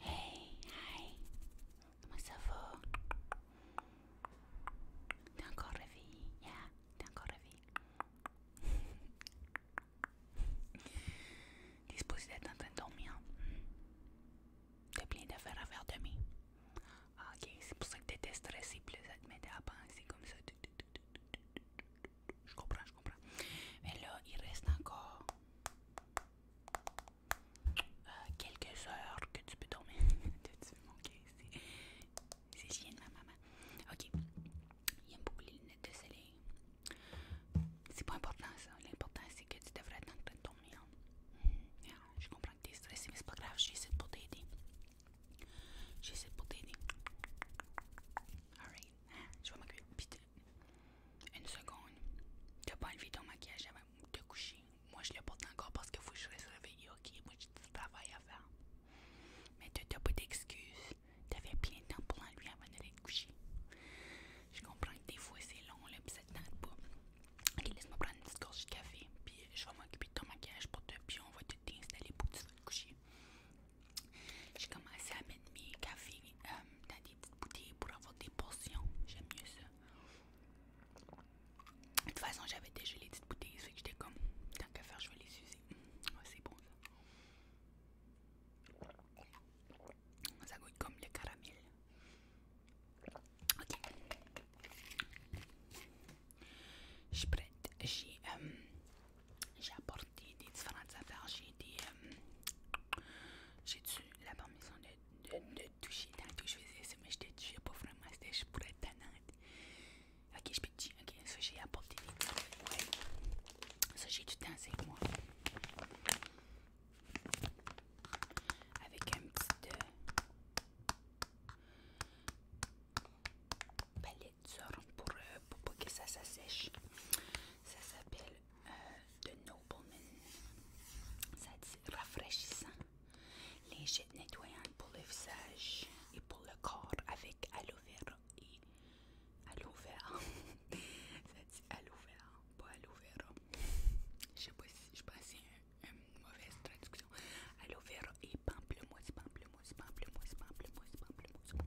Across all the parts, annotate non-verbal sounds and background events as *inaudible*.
Hey, hi, comment ça va? T'es encore réveillé? Yeah, t'es encore réveillé. *laughs* T'es supposé être en train de dormir. Hein? T'as plein d'affaires à faire demain. Ah, ok, c'est pour ça que t'étais stressé, plus ça te mettait à penser comme ça. Je comprends, je comprends. Mais là, il reste encore euh, quelques heures que tu peux dormir. *laughs* T'as-tu manqué? C'est chien de ma maman. Ok. Il aime beaucoup les lunettes de soleil. C'est pas important ça. L'important c'est que tu devrais être en train de dormir. Ah, je comprends que tu es stressé, mais c'est pas grave. J'essaie pour t'aider. J'essaie pour t'aider. Alright. Ah, je vais m'occuper une seconde. T'as pas enlevé ton maquillage avant de te coucher. Moi, je le porte encore parce que faut que je reste réveillé, ok? Moi, j'ai du travail à faire. Mais t'as pas d'excuses. T'avais plein de temps pour l'enlever avant d'aller te coucher. Je comprends que des fois, c'est long, là, pis ça te tente pas. Ok, laisse-moi prendre une petite gorgée de café, puis je vais m'occuper de ton maquillage pour te, puis on va te t'installer pour que tu te coucher. J'ai commencé à mes cafés euh, dans des petites bouteilles pour avoir des portions. J'aime mieux ça. De toute façon, j'avais déjà les petites bouteilles, fait que j'étais comme, tant qu'à faire, je vais les user. Mm, ouais, c'est bon ça. Ça goûte comme le caramel. Ok. Je suis prête. J'ai euh, apporté des différentes affaires. J'ai des, euh, j'ai dû la permission de, de, de toucher. que je faisais ça, mais je te pas vraiment. C'était pour être tannante. Ok, je peux te dire. Ok, ça, j'ai apporté des trucs. Ça, j'ai du temps avec moi. Avec un petit euh, palette d'or pour, euh, pour que ça sèche Ça s'appelle euh, de Nobleman. Ça dit rafraîchissant, léger nettoyant pour le visage et pour le corps avec aloe vera et aloe vera. *laughs* ça dit aloe vera, pas aloe vera. Je sais pas si je pense une, une mauvaise traduction. Aloe vera et pamplemousse, pamplemousse, pamplemousse, pamplemousse. pamplemousse.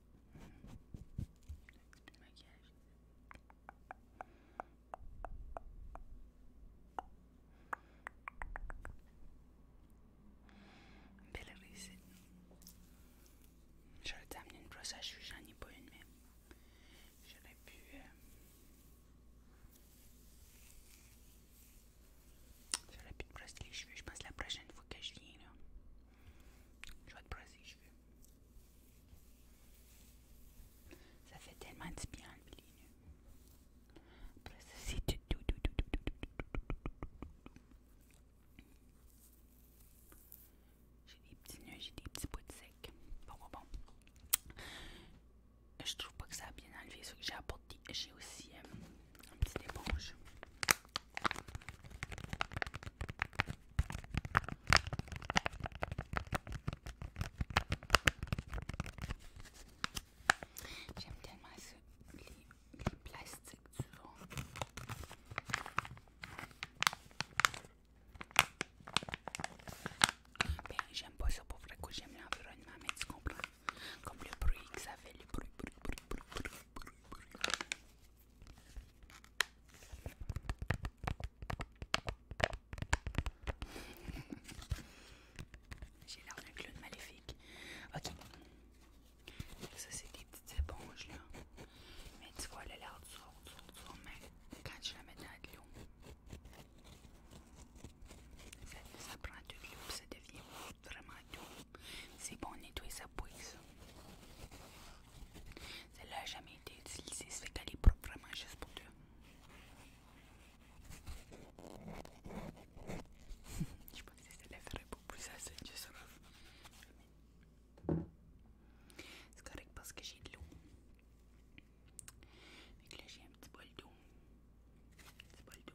petit peu de maquillage. Belle recette. J'aurais dû amener une brosse à cheveux, j'en ai pas une, mais j'aurais pu. Euh, j'aurais pu te brosser les cheveux, je pense, la prochaine fois que je viens là. Je vais te brosser cheveux. Ça fait tellement de bien le milieu. J'ai des petits nœuds, j'ai des petits bouts de sec. Je trouve pas que ça a bien enlevé ce que j'ai apporté. J'ai aussi un petit éponge. J'aime tellement ce, les, les plastiques du vent. Ben, j'aime pas ça pour vrai que j'aime l'environnement, mais tu comprends? Comme le bruit que ça fait, le bruit, bruit, bruit, bruit, bruit, bruit, bruit. *laughs* J'ai d'un clown maléfique. Ok. Ça c'est des petites éponges là. Mais tu vois, elle a l'air dure, mais quand je la mets dans le l'eau, ça, prend du loup ça devient vraiment doux. C'est bon nettoyer sa bouille, ça. Celle-là n'a jamais été utilisée, ça fait qu'elle est propre vraiment juste pour toi. *laughs* Je pense que celle-là ferait beaucoup plus assez, juste sais C'est correct parce que j'ai de l'eau. Donc là, j'ai un petit bol d'eau. Un petit bol d'eau.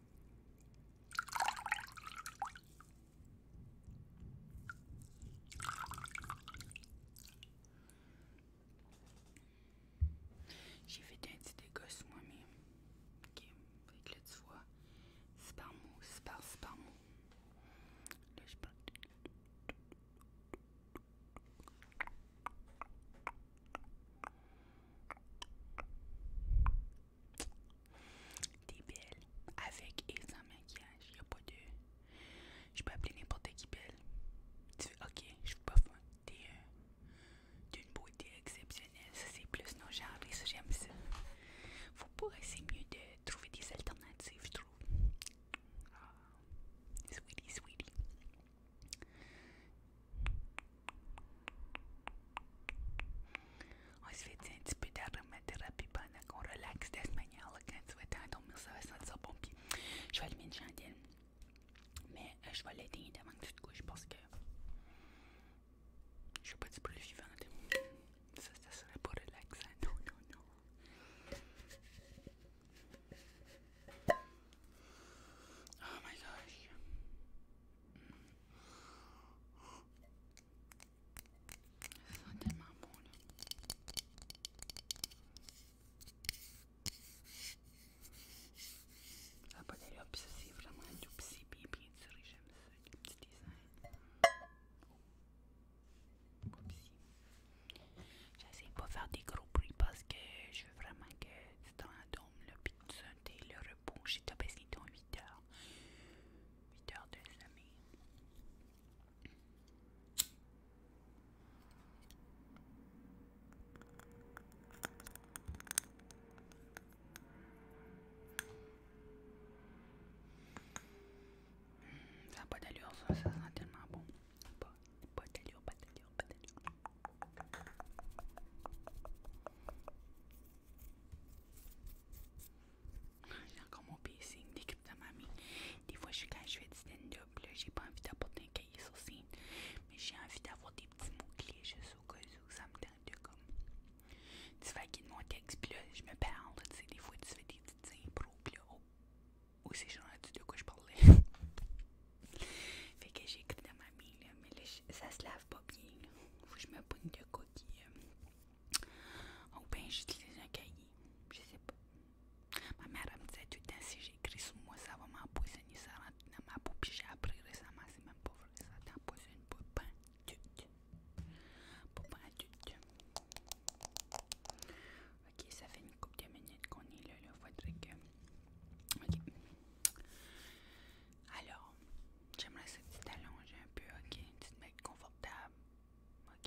J'ai fait un petit dégât sur moi-même. Ok, fait que là tu vois, c'est pas mot, c'est pas, c'est pas mot. Là je parle. T'es belle. Avec et sans maquillage. Y a pas de. Je peux appeler n'importe qui belle. Tu ok, je veux pas fun. T'es une d'une beauté exceptionnelle. Ça c'est plus nos genres ça j'aime ça. vous pourrez, essayer mieux de trouver des alternatives, je trouve. Ah, sweetie, sweetie. On se fait un petit peu d'aromathérapie pendant qu'on relaxe de cette manière. Quand tu vas être en dormir, ça va sentir bon. Je vais allumer une chandelle. Mais je vais l'aider avant que tu te couches parce que. Je suis pas du bruit vivant. Ça, ça serait pas relaxant. Oh my gosh! Oh my gosh! Ça sent tellement bon là. Ça n'a pas d'allure, puis ça c'est vraiment tout petit, bien bien tiré, j'aime ça, le petit dessin. J'essaie de ne pas faire des gros bruits parce que je veux vraiment que tu dans la dôme, là, puis tu le repos. J'ai tapé 8 heures. Huit heures de sommeil. Ça n'a pas d'allure, ça, tellement bon. pas d'allure, pas d'allure. J'ai encore mon piercing dans ma mamie. Des fois, je suis quand je fais du stand-up, j'ai pas envie d'apporter un cahier sur scène, mais j'ai envie d'avoir des petits mots-clés juste au cas où ça me tente de comme. Tu mon texte, là, je me parle, des fois, tu fais des petites impros, puis là, oh, oh, de quoi je parlais. *laughs* fait que écrit de ma là, mais là, ça se lave pas bien, Faut que je me pogne de coquille euh. Ou bien j'utilise un cahier. Je sais pas. Ma mère me disait tout le temps si j'écris sur moi, ça va m'empoisonner, ça rentre dans ma bouche Puis j'ai appris récemment, c'est même pas vrai, ça t'empoisonne pas pour Pas tout, Ok, ça fait une couple de minutes qu'on est là, il Faudrait que. Ok. Alors, J'aimerais que tu t'allonges un peu, ok? Une petite mettes confortable. Ok?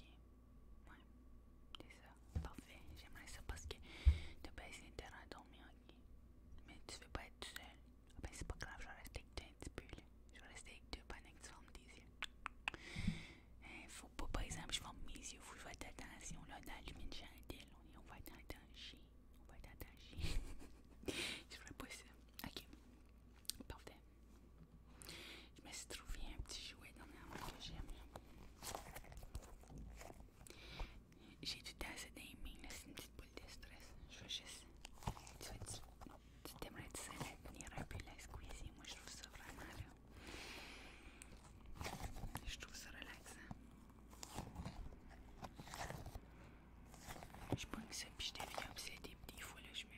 Ouais. C'est ça. Parfait. J'aimerais ça parce que t'as pas essayé de dormir ok? Mais tu veux pas être tout seul. Ah ben c'est pas grave, je vais rester avec toi un petit peu, là. Je vais rester avec toi pendant que tu fermes tes yeux. Hein, faut pas, par exemple, je ferme mes yeux. Faut que je fasse attention, là, dans la lumière de chandelle. On va être danger, On va être danger, *laughs* je ferais pas ça. Ok. Parfait. Je me suis trouvé un petit jouet dans la que j'aime. J'ai du temps là, c'est une petite boule de stress. Je veux juste. Tu veux Tu ça la venir un peu la Moi, je trouve ça vraiment Je trouve ça relaxant. Je prends ça, je des fois, là, je me.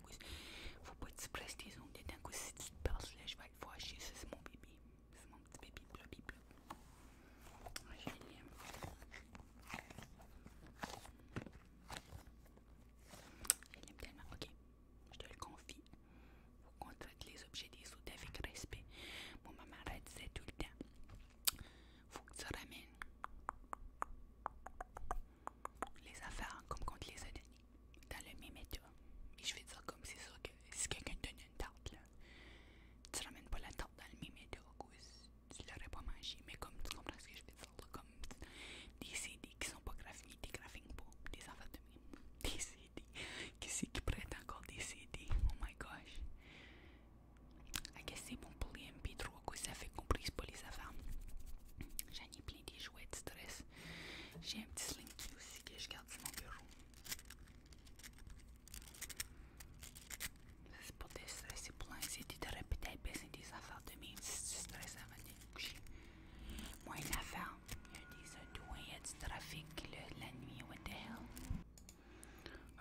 détingos. Vou participar de des zones détingos. Si tu te parles, là, je vais être voir. C'est mon bébé. C'est mon petit bébé bleu, bébé. Je l'aime. Je l'aime tellement. Ok, je te le confie. Faut qu'on traite les objets des autres avec respect. Mon maman elle disait tout le temps. Faut que tu ramènes les affaires hein, comme quand te les a données, dans le même mais Et je vais dire comme c'est sûr que si quelqu'un te donne une tarte, là, tu ramènes pas la tarte dans le même état tu l'aurais pas mangé. Mais comme tu comprends ce que je veux dire, là, comme des CD qui sont pas graphiques des graphiques pas, des affaires de même. *laughs* Des CD. Qu'est-ce qui prête encore des CD? Oh my gosh. I que c'est bon pour les MP3 que ça fait qu'on prise pas les affaires. J'en ai j'ai des jouets de stress. J'ai un petit slinky aussi que je garde sur mon bureau. C'est pour te stresser, pour l'anxiété, t'aurais peut-être baisser des affaires de même si tu stresses avant de te coucher. Moins d'affaires, il y a des il y a du trafic le, la nuit, what the hell.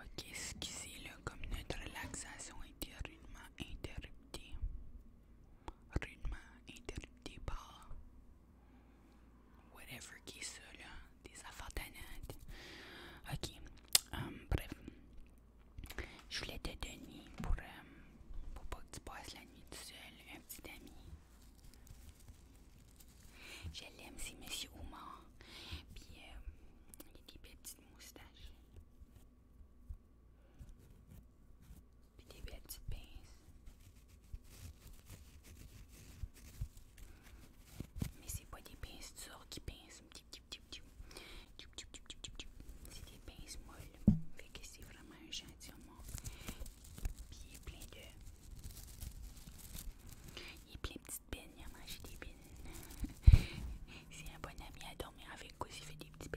Ok, c'est là comme notre relaxation a été rudement interruptée. Ritma interdibal. Whatever que isso, olha, diz a fatanate. Aqui, um, bref. Julete Deni pour euh, pour pas que tu passes la nuit tout seul, un petit ami. Je l'aime, Monsieur Oumar. Puis, euh, il y a des belles petites moustaches. Et des belles petites pinces. Mais c'est pas des pinces qui pincent. C'est des pinces molles. c'est vraiment un gentiment. Puis il est plein de. Il plein de petites pines. Il a des pines. *laughs* c'est un bon ami à dormir avec. Aussi, il fait des petites pinces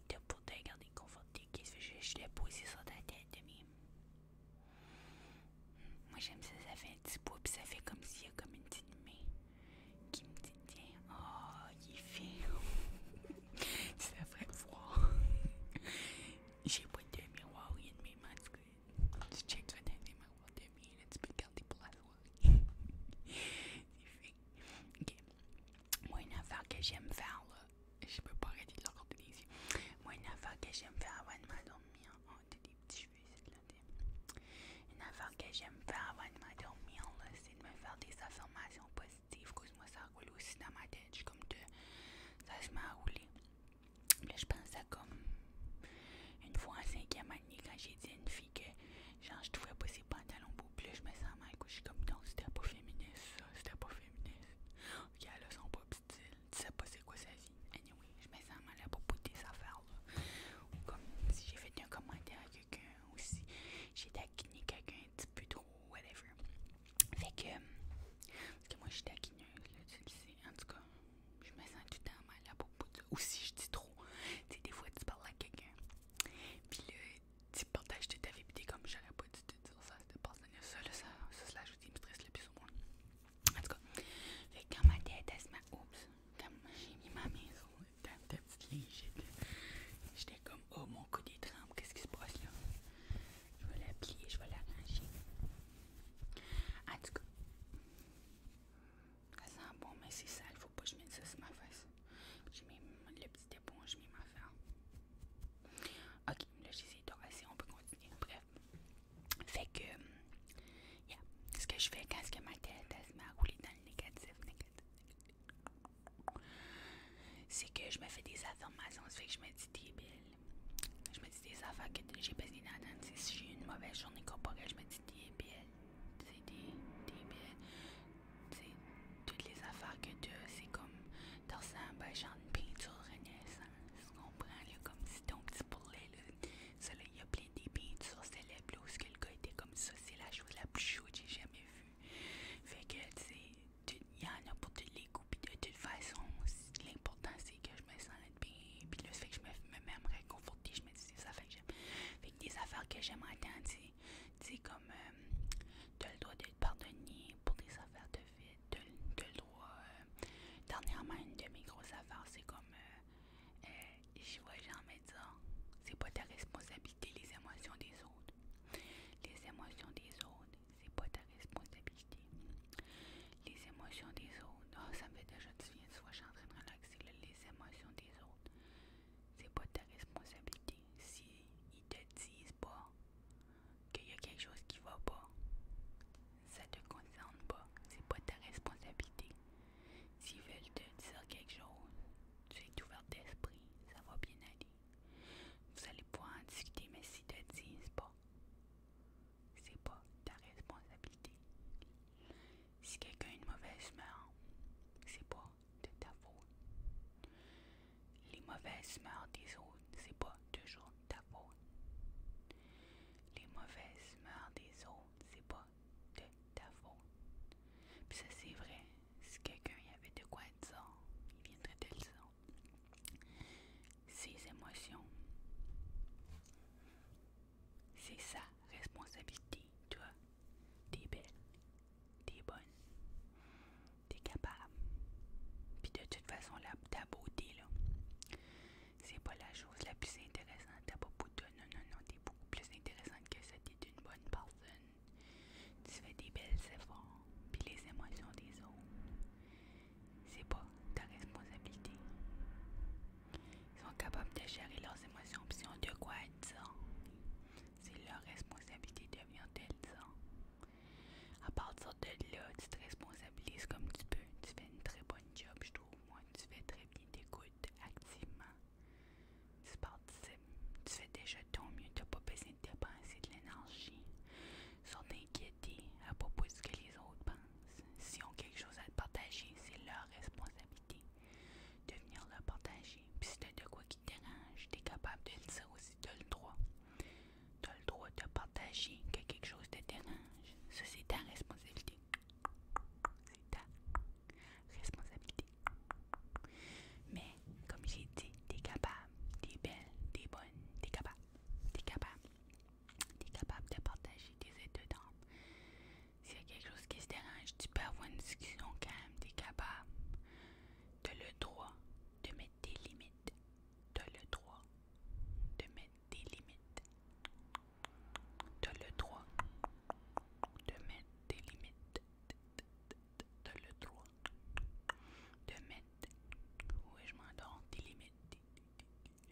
pour te regarder conforté. Qu'est-ce que je, je sur ta tête, demi? Moi j'aime ça, ça fait un petit puis ça fait comme s'il y a comme une petite main qui me dit oh, il est fin. tu *laughs* devrais *laughs* J'ai pas de miroir, il y a de mes masques. tu, tu les miroirs tu peux garder pour la *laughs* fait. Ok. Moi, une affaire que j'aime faire, là, *laughs* je peux pas arrêter de leur compter Moi, une affaire que j'aime faire avant de m'endormir. Oh, t'as des petits cheveux, c'est de la Une affaire que j'aime faire avant de m'endormir, c'est de me faire des affirmations positives. Cause-moi, ça roule aussi dans ma tête. Je suis comme de. Ça se m'a à rouler. Là, je pense à comme. Une fois en cinquième année, quand j'ai dit à une fille que. Genre, je trouvais pas ses pantalons beaux. plus je me sens mal. Je suis comme, non, c'était pas féministe, ça. C'était pas féministe qui elle a son pop style, tu sais pas c'est quoi sa vie. Anyway, je me sens mal à bout de tes affaires-là. Ou comme si j'ai fait un commentaire à quelqu'un, ou si j'ai taquiné quelqu'un un petit peu trop, whatever. Fait que, euh, parce que moi je suis taquineuse, là, tu sais. En tout cas, je me sens tout le temps mal à bout de Ou si je dis trop, tu sais, des fois tu parles à quelqu'un, puis là, petit partage de ta vie, pis t'es comme j'aurais pas dû te dire ça, c'était pas ça, là, ça, ça, c'est la je dis me stresse le plus au monde. En tout cas, fait quand ma tête, elle ma met, oups, quand j'ai mis ma maison dans ta petite ligne, j'étais comme, oh mon coup des tremble, qu'est-ce qui se passe là? Je vais la plier, je vais la ranger. En tout cas, ça sent bon, mais c'est sale, faut pas que je mette ça sur ma face. je mets le petit éponge, je mets ma ferme. Ok, là j'ai assez, on peut continuer. Bref. Fait que, euh, yeah. ce que je fais quand ce que ma tête elle, se met à rouler dans le négatif, négatif, c'est que je me fais des affirmations. Ça fait que je me dis t'es Je me dis des affaires que j'ai besoin dans Si j'ai une mauvaise journée corporelle, je me dis t'es belle. T'es belle. T'es toutes les affaires que tu c'est comme dans un à genre une peinture renaissance. Comprends, comme si ton petit poulet, il y a plein de peintures célèbres, où ce que le gars était comme ça. C'est la chose la plus chouette que j'ai jamais vue. Fait que, tu sais, il y en a pour tous les goûts, puis de toute façon, l'important, c'est que je me sente bien, puis le fait que je me, me me je me dis, ça fait que j'aime. Fait que des affaires que j'aime entendre, tu sais, comme, tu euh, t'as le droit d'être pardonné pour des affaires de vie de, de droit. Euh, dernièrement, une de mes grosses affaires, c'est comme euh, euh, je vois Jean me c'est pas ta responsabilité les émotions des autres. Les émotions des autres, c'est pas ta responsabilité. Les émotions des autres, ah, ça me fait déjà du bien, tu vois, je suis en train de relaxer. les émotions des autres, c'est pas ta responsabilité. Si ils te disent pas qu'il y a quelque chose qui va pas, ça te concerne pas, c'est pas ta responsabilité. S'ils veulent te dire quelque chose, tu es ouvert d'esprit, ça va bien aller. Vous allez pouvoir en discuter, mais s'ils te disent pas, c'est pas ta responsabilité. Si quelqu'un a une mauvaise ce c'est pas de ta faute. Les mauvaises mœurs des autres, c'est pas toujours ta faute. Les mauvaises mœurs des autres, c'est pas de ta faute. Puis ça, c'est vrai. Si quelqu'un y avait de quoi dire, il viendrait te le dire. Ses émotions, c'est sa responsabilité, toi. T'es belle, t'es bonne. T'es capable. Puis de toute façon, là, ta beauté, là, c'est pas la chose la plus intéressante. T'as pas Non, non, non, t'es beaucoup plus intéressante que ça. T'es une bonne personne. Tu fais des belles efforts. Puis les émotions des autres, c'est pas ta responsabilité. Ils sont capables de gérer leurs émotions. Puis ils ont de quoi être ça. C'est leur responsabilité de venir tel ça. À partir de là, tu te responsabilises comme tu peux. Tu fais une très bonne job, je trouve. Moi, tu fais très bien, t'écoutes activement. Tu participes. Tu fais déjà ton mieux. tu n'as pas besoin de dépenser de l'énergie. Sans t'inquiéter à propos de ce que les autres pensent. S'ils ont quelque chose à te partager, c'est leur responsabilité de venir leur partager. Puis si t'as de quoi qui te dérange, es capable de le dire aussi, de le droit t'as le droit de partager que quelque chose te dérange. Ça, c'est ta responsabilité. C'est ta responsabilité. Mais, comme j'ai dit, t'es capable, t'es belle, t'es bonne, t'es capable, t'es capable, t'es capable de partager tes aides dedans. Si y a quelque chose qui se dérange, tu peux avoir une discussion quand même, t'es capable. T'as le droit de mettre des limites. T'as le droit de mettre des limites. T'as le droit de mettre des limites. T'as le droit de mettre, oui je m'endors, des limites.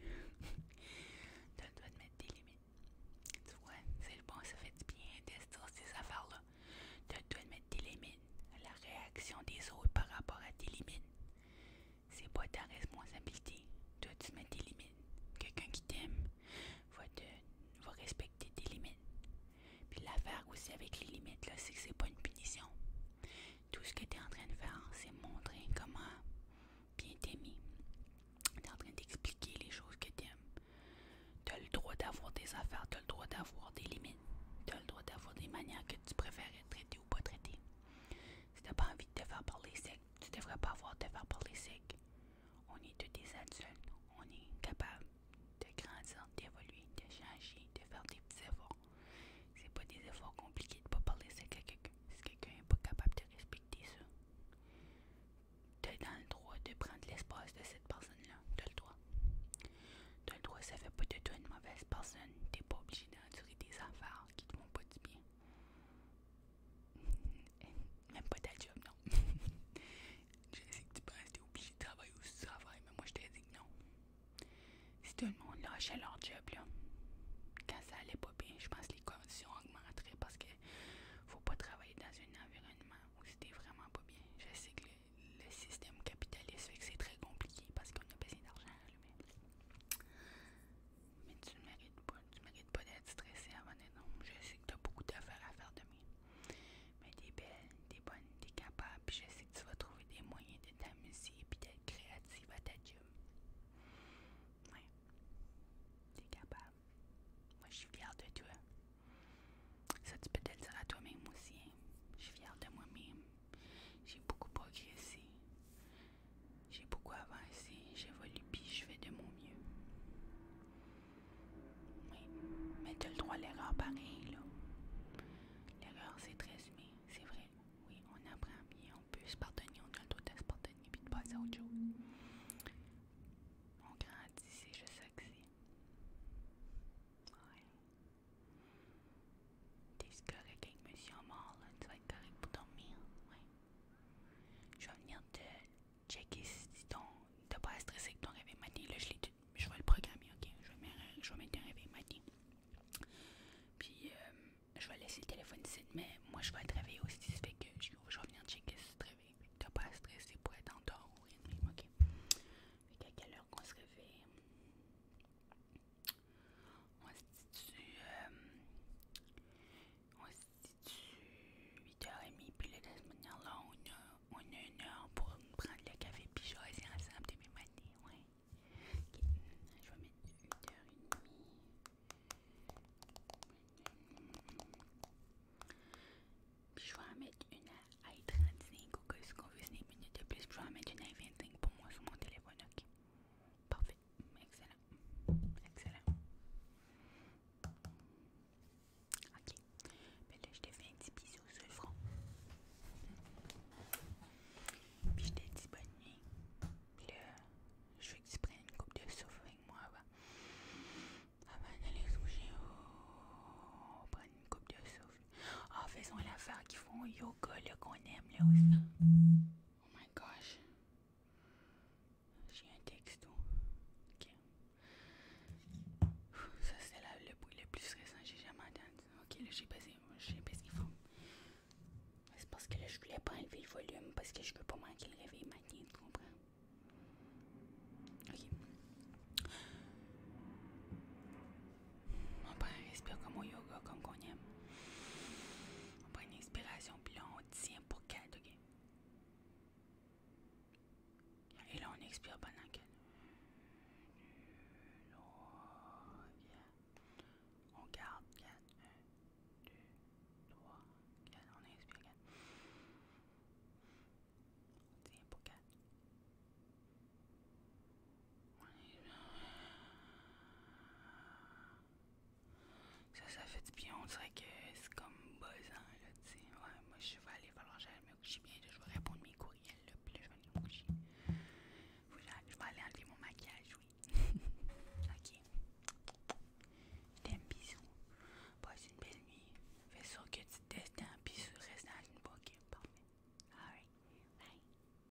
*laughs* T'as le de mettre des limites. Tu vois, c'est le bon, ça fait du bien d'estir ces affaires-là. T'as le de mettre des limites. La réaction des autres par rapport à tes limites. C'est pas ta responsabilité. Toi, tu mets des limites. Quelqu'un qui t'aime va, respecter tes limites. Puis l'affaire aussi avec les limites, là, c'est que c'est pas une punition. Tout ce que tu es en train de faire, c'est montrer comment bien t'aimer. t'es en train d'expliquer les choses que t'aimes, aimes. Tu as le droit d'avoir des affaires, t'as le droit d'avoir des limites. Tu as le droit d'avoir des manières que tu préfères être pas traité. Si pas envie de te faire parler sec, tu devrais pas avoir de te faire parler sec. On est tous des adultes, on est capable de grandir, d'évoluer, de changer, de faire des petits efforts. C'est pas des efforts compliqués de pas parler sec à quelqu'un. Si quelqu'un n'est pas capable de respecter ça, tu dans le droit de prendre l'espace de cette personne-là. de le droit t'as le droit, ça fait pas de toi une mauvaise personne. T'es pas obligé d'endurer des affaires qui te font pas du bien. *laughs* Même pas ta job, non. *laughs* je sais que tu penses que t'es obligé de travailler ou de travailler mais moi je t'ai dit que non. Si tout le monde lâchait leur job, là, quand ça allait pas bien, je pense que les conditions augmenteraient parce que faut pas travailler dans un environnement où c'était vraiment pas bien. Je sais que le, le système capitaliste fait que c'est très compliqué parce qu'on a besoin d'argent mais tu ne mérites pas, tu mérites pas d'être stressée avant d'être Je sais que tu as beaucoup d'affaires à faire de demain. Mais tu es belle, tu es bonne, tu es capable, puis je sais que tu vas trouver des moyens d'être t'amuser puis d'être créative à ta gym. Ouais. es capable. Moi, je suis fière de toi. Ça, tu peux te le dire à toi-même aussi. Je suis fière de moi-même. J'ai beaucoup progressé. J'ai beaucoup avancé. J'évolue puis je fais de mon mieux. Oui, mais tu as le droit à l'erreur pareil, là. L'erreur, c'est très humain, c'est vrai. Oui, on apprend bien, on peut se pardonner, on a le à de se pardonner puis de passer à autre chose. On grandit, c'est juste ça que c'est. Ouais. T'es correct avec Monsieur Amor là? Tu vas être correct pour dormir? Ouais. Je vais venir te checker si T'as pas à stresser avec ton réveil matin. Là, je l'ai Je vais le programmer, ok? Je vais, mettre, je vais un réveil matin. Puis, euh, je vais laisser le téléphone ici, mais moi, je vais être réveillé aussi. Ça fait que je, vais venir checker si tu te T'as pas à stresser pour être en dehors ou rien ok? Fait qu'à quelle heure qu'on se réveille? On se situe. 8h30, euh, puis là, de cette manière-là, on a, une heure pour prendre le café, puis choisir ensemble début matin, ouais. Ok, je vais mettre 8h30. Puis je vais en mettre une à 35 ou que ce qu'on veut, une minute de plus. Puis je vais en mettre une à 25 pour moi sur mon téléphone, ok? Parfait, excellent, excellent. Ok, ben là je te fais un petit bisou sur le front. Puis je t'ai dit bonne nuit. Puis là, je veux que tu prennes une coupe de souffle avec moi avant. d'aller se coucher, oh, prendre une coupe de souffle. Ah, faisons l'affaire qu'ils font yoga, le qu'on aime, là aussi. Oh my gosh. J'ai un texto. Ok. Ça, c'est le bruit le plus stressant que j'ai jamais entendu. Ok, là, j'ai baissé. J'ai C'est parce que là, je voulais pas enlever le volume parce que je veux pas manquer le réveil matin, tu comprends? Ok. On prend un respire comme au yoga, comme qu'on aime. On prend une inspiration, puis là, on tient pour 4 ok? Et là, on expire pendant 4. On garde 4. 1, 2, 3, 4. On inspire 4. On tient pour 4. Ça, ça fait du bien. On dirait que c'est comme besoin, là, tu sais. Ouais, moi, je vais aller, falloir que j'aille me coucher bien. je vais répondre mes courriels, là, puis je vais aller me coucher. je vais aller enlever mon maquillage, oui. *laughs* ok. T'aime, bisous. Passe une belle nuit. Fais sûr que tu te destes, puis reste dans une bonne Parfait. Bye.